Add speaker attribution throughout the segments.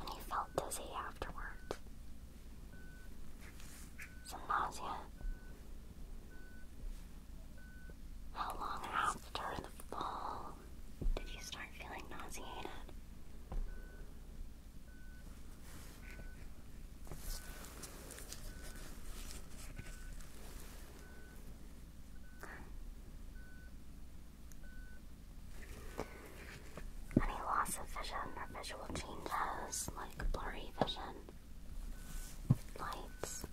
Speaker 1: And he felt dizzy afterwards. Some nausea. How long after the fall did you start feeling nauseated? Any loss of vision or visual changes like blurry vision, lights.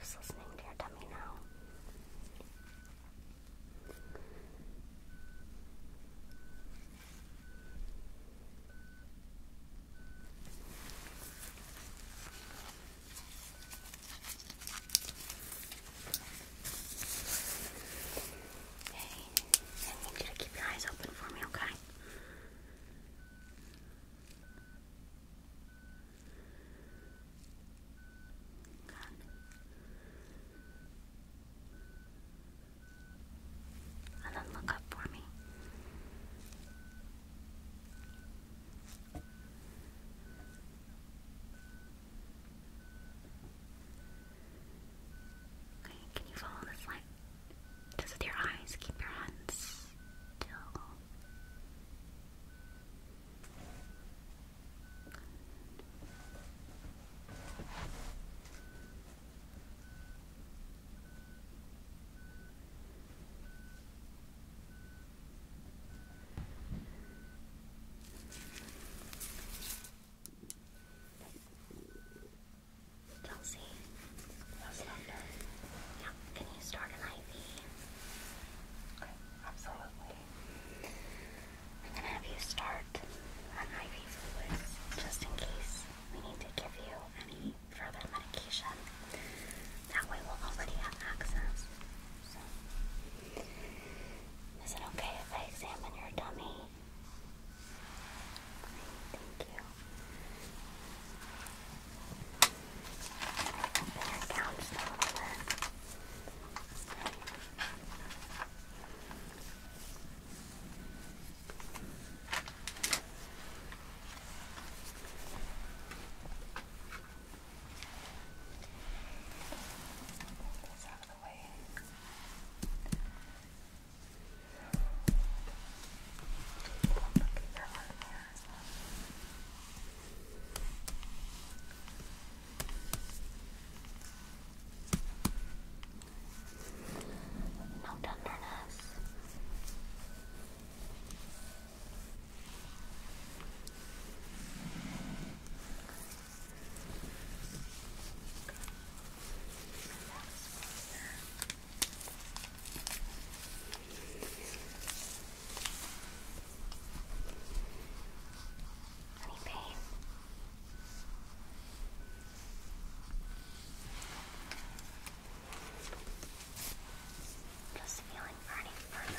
Speaker 1: Just listening to your tummy now. Hey, I need you to keep your eyes open for me, Okay kan and then look up for me. Okay, can you follow this light? Just with your eyes, keep your hands still. Kelsey, yes, yeah, can you start an IV? Okay, absolutely. I'm gonna have you start on IV fluids just in case we need to give you any further medication. That way we'll already have access. is it okay if I examine your dummy? Thank you. Open your these out of the way. Look at your arm there. No tenderness any pain. Just feeling further injury.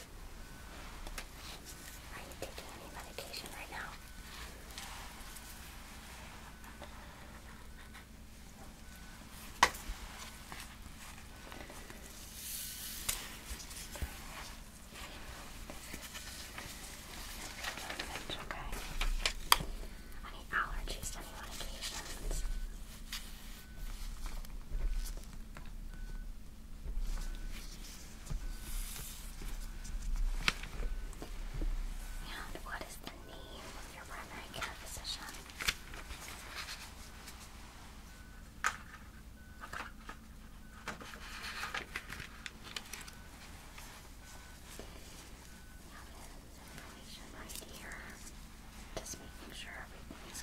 Speaker 1: Are you taking any medication right now? okay. Any allergies to any medications? And what is the name of your primary care physician? Now, information right here. Just making sure everything is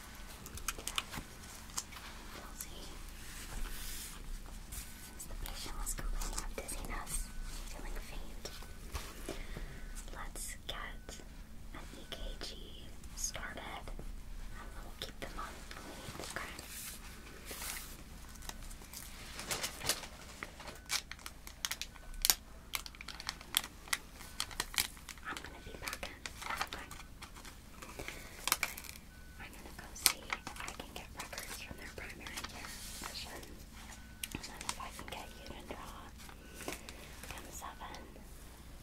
Speaker 1: We'll Since the patient was complaining of dizziness, feeling faint, let's get an EKG started and we'll keep them on I'm gonna be back in. I'm gonna go see if I can get records from their primary physician. And then if I can get you to draw M7,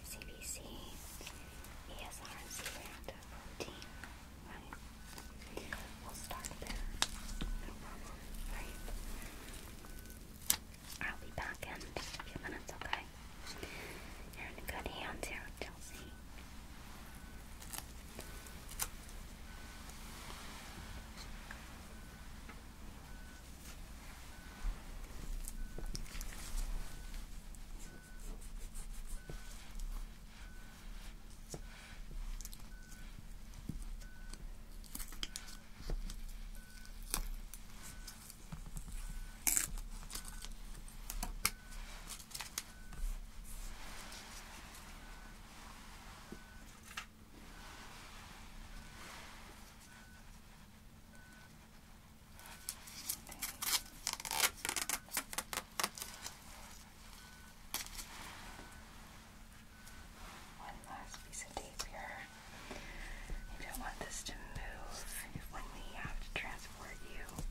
Speaker 1: CBC, ESR, and c protein, right? We'll start there. right? I'll be back in a few minutes, okay? You're in good hands here Chelsea. One last piece of tape here. You don't want this to move. When we have to transfer transport you.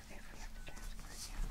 Speaker 1: if we have to transport you?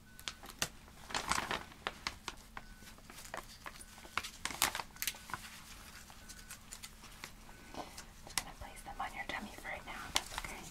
Speaker 1: just going to place them on your tummy for right now, if that's okay. Okay,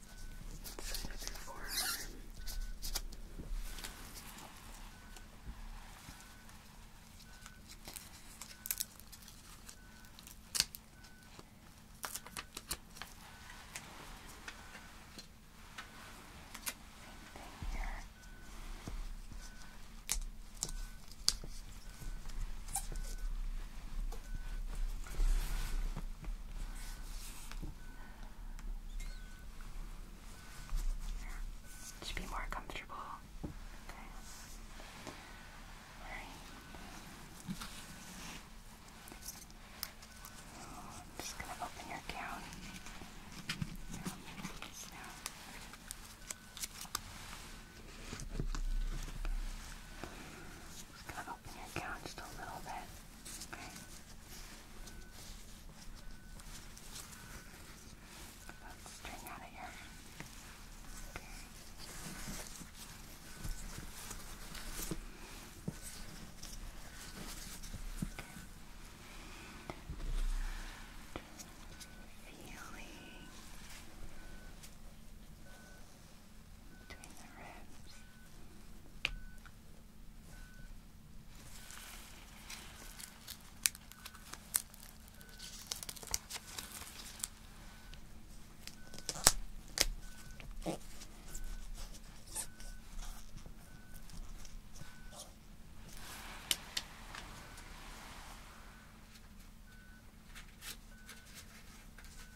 Speaker 1: Inside of your forearm. Same thing here. It be more comfortable. Okay. Alright. I'm just going to open your gown. Just going to open your gown just a little bit. Okay. let string out of here. Okay. Feeling between the ribs. Good.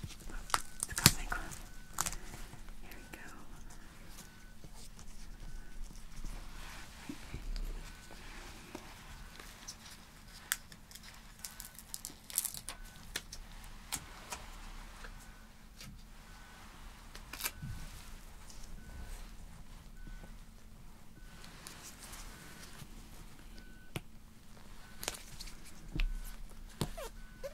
Speaker 1: It's got my glue. Here we go. Okay.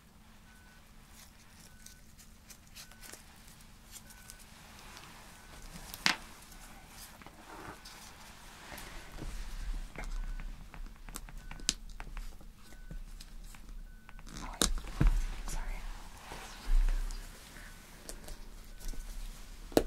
Speaker 1: Oh, sorry. Right. The right arm.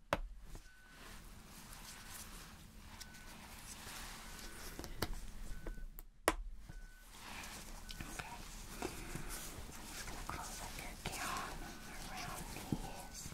Speaker 1: Okay. So I'm just going to close up your gown around these. Okay.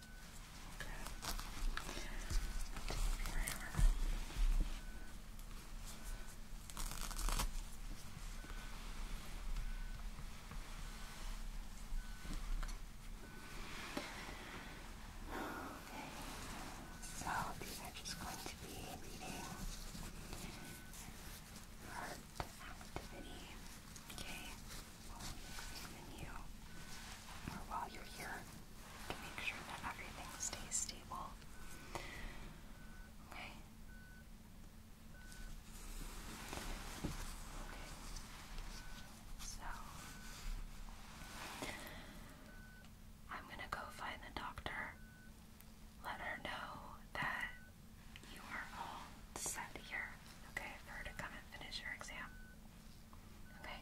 Speaker 1: Take your so these are just going to be reading heart activity. Okay while you're here to make sure that everything stays stable. Okay. Okay. So I'm gonna go find the doctor. Let her know that you are all set here, okay, for her to come and finish your exam. Okay?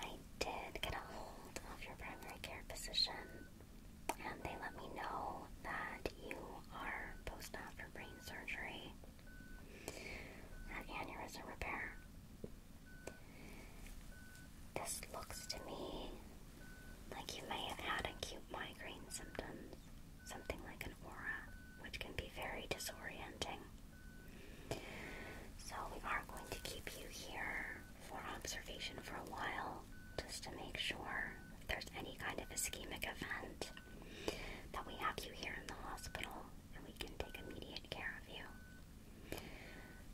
Speaker 1: I did get a hold of your primary care physician, and they let me know that you are post op for brain surgery and aneurysm repair. This looks to me like you may have had acute migraine symptoms, something like an aura, which can be very disorienting. So we are going to keep you here for observation for a while just to make sure if there's any kind of ischemic event that we have you here in the hospital and we can take immediate care of you.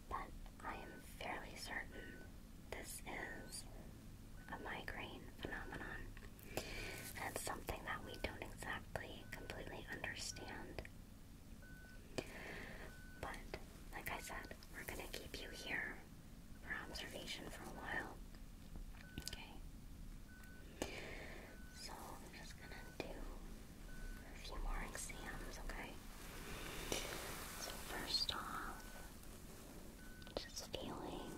Speaker 1: But I am fairly certain this is a migraine phenomenon. That's something that we don't exactly exactly completely understand. But, like I said, we're gonna keep you here for observation for a while. Okay? So, I'm just gonna do a few more exams, okay? So, first off, just feeling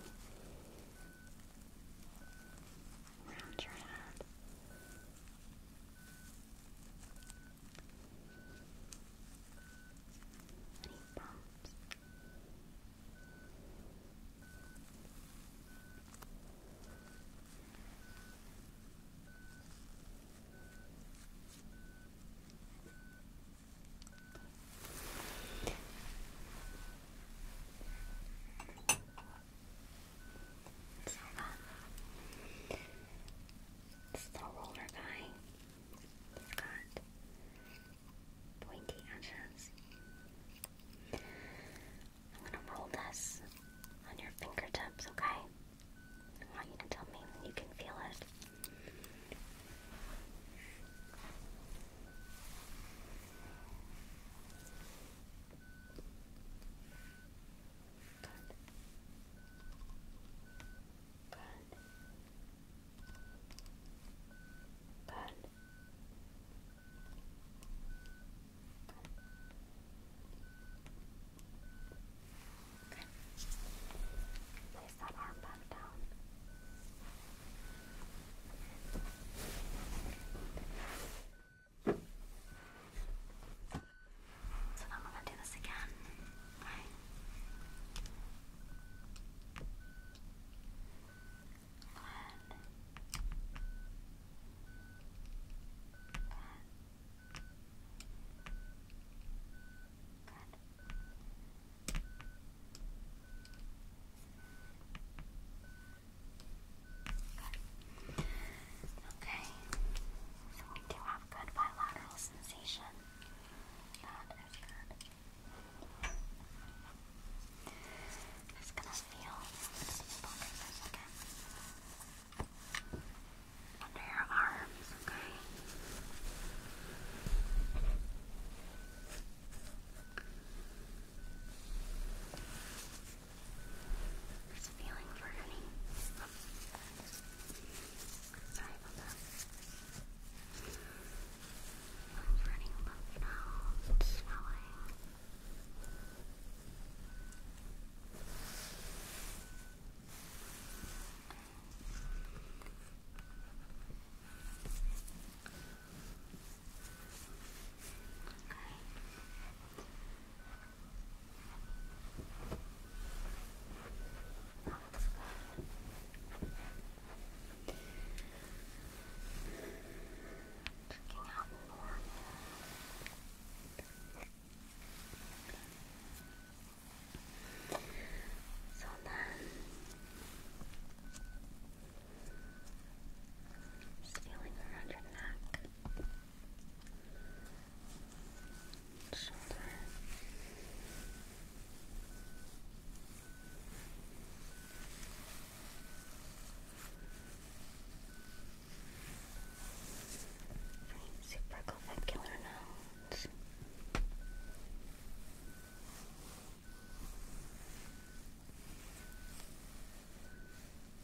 Speaker 1: around your head. Any bumps? Okay. So fun. This little roller guy. got pointy edges. I'm gonna roll this on your fingertips, okay? I want you to tell me you can feel it. Okay. Place that arm back down. So then we're going to do this again. Right. Good. Okay, so we do have good bilateral sensation. That is good. i gonna feel Under your arms, Okay. Just feeling for honey. Sorry about that. I'm running lymph nodes, Okay. That's out more. So then, feeling around your neck. Shoulder. Supraclavicular nodes.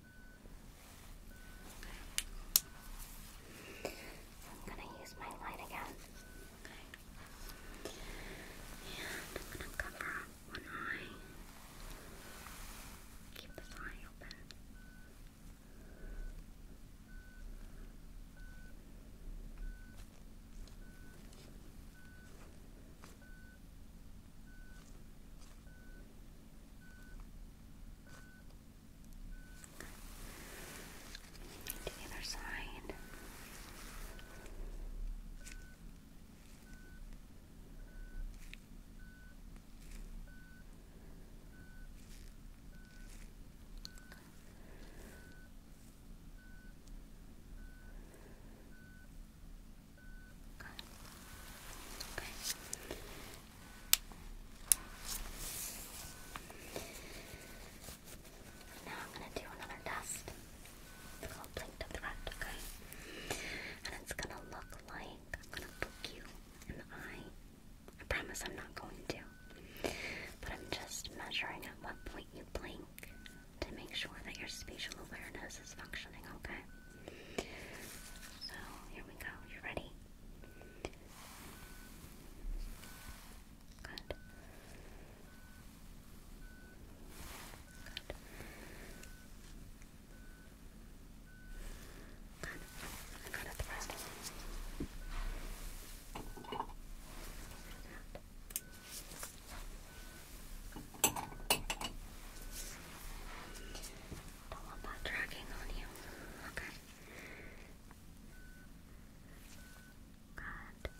Speaker 1: Okay. I'm gonna use my light again. And I'm gonna cover one eye. Keep this eye open. To the other side. Okay. Okay. Now I'm going to do another test. It's called Blink to Threat, okay? And it's going to look like I'm going to poke you in the eye. I promise I'm not going to. But I'm just measuring at what point you blink to make sure that your spatial awareness is functioning, okay? So, here we go. You ready? Good. Good. Good. I got it thread. Don't want that dragging on you. Okay. Good. Okay. Good.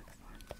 Speaker 1: Excellent.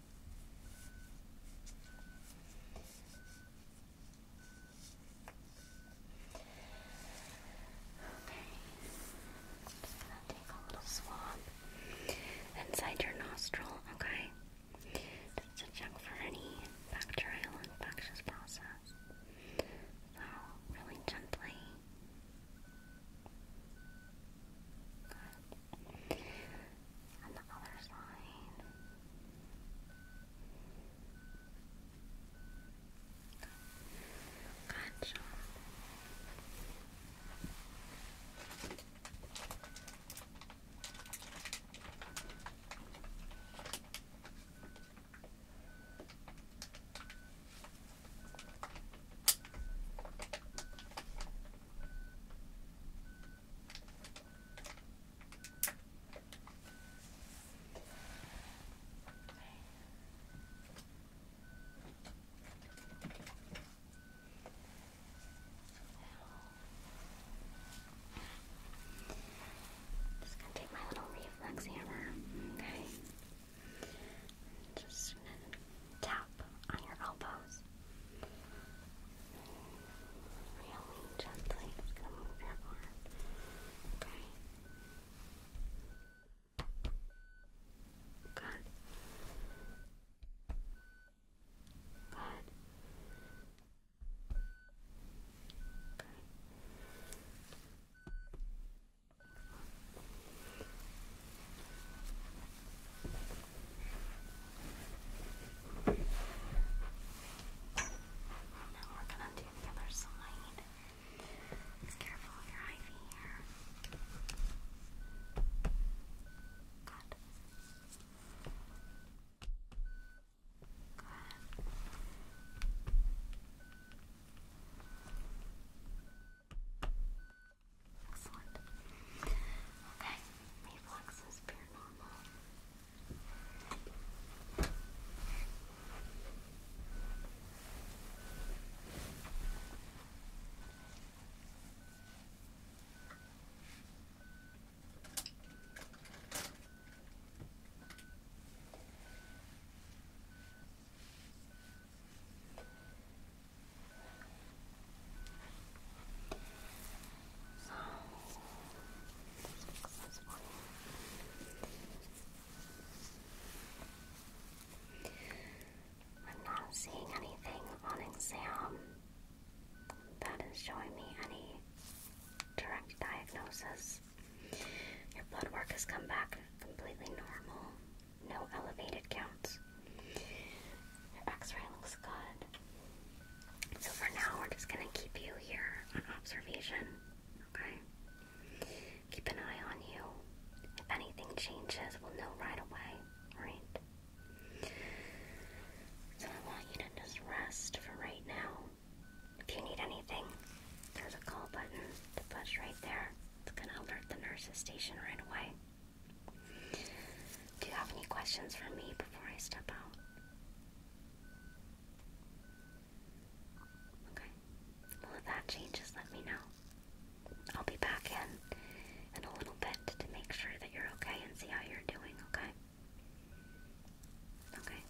Speaker 1: just gonna take a little swab inside your nostril, okay? Just to check for any bacterial infectious process. So, really gently. Good. And the other side. Gotcha. I'm just gonna take my little reflex hammer, okay? Just tap on your elbows. Really gently. It's going to move your arm. Okay. Good. Good. Good. Now we're gonna do the other side. Be careful your ivy here. Good. Good. Excellent. Okay, reflexes paranormal. Okay. I'm not seeing anything on exam that is showing me any direct diagnosis. Your blood work has come back completely normal, no elevated counts. Your x-ray looks good. So for now, we're just gonna keep you here on observation, okay? Keep an eye on you. If anything changes, we'll know right away, right? So I want you to just rest for right now. If you need anything, there's a call button to push right there. It's gonna alert the nurses station right away. Do you have any questions for me before I step out? Okay. Well, if that changes, let me know. I'll be back in in a little bit to make sure that you're okay and see how you're doing, okay? Okay.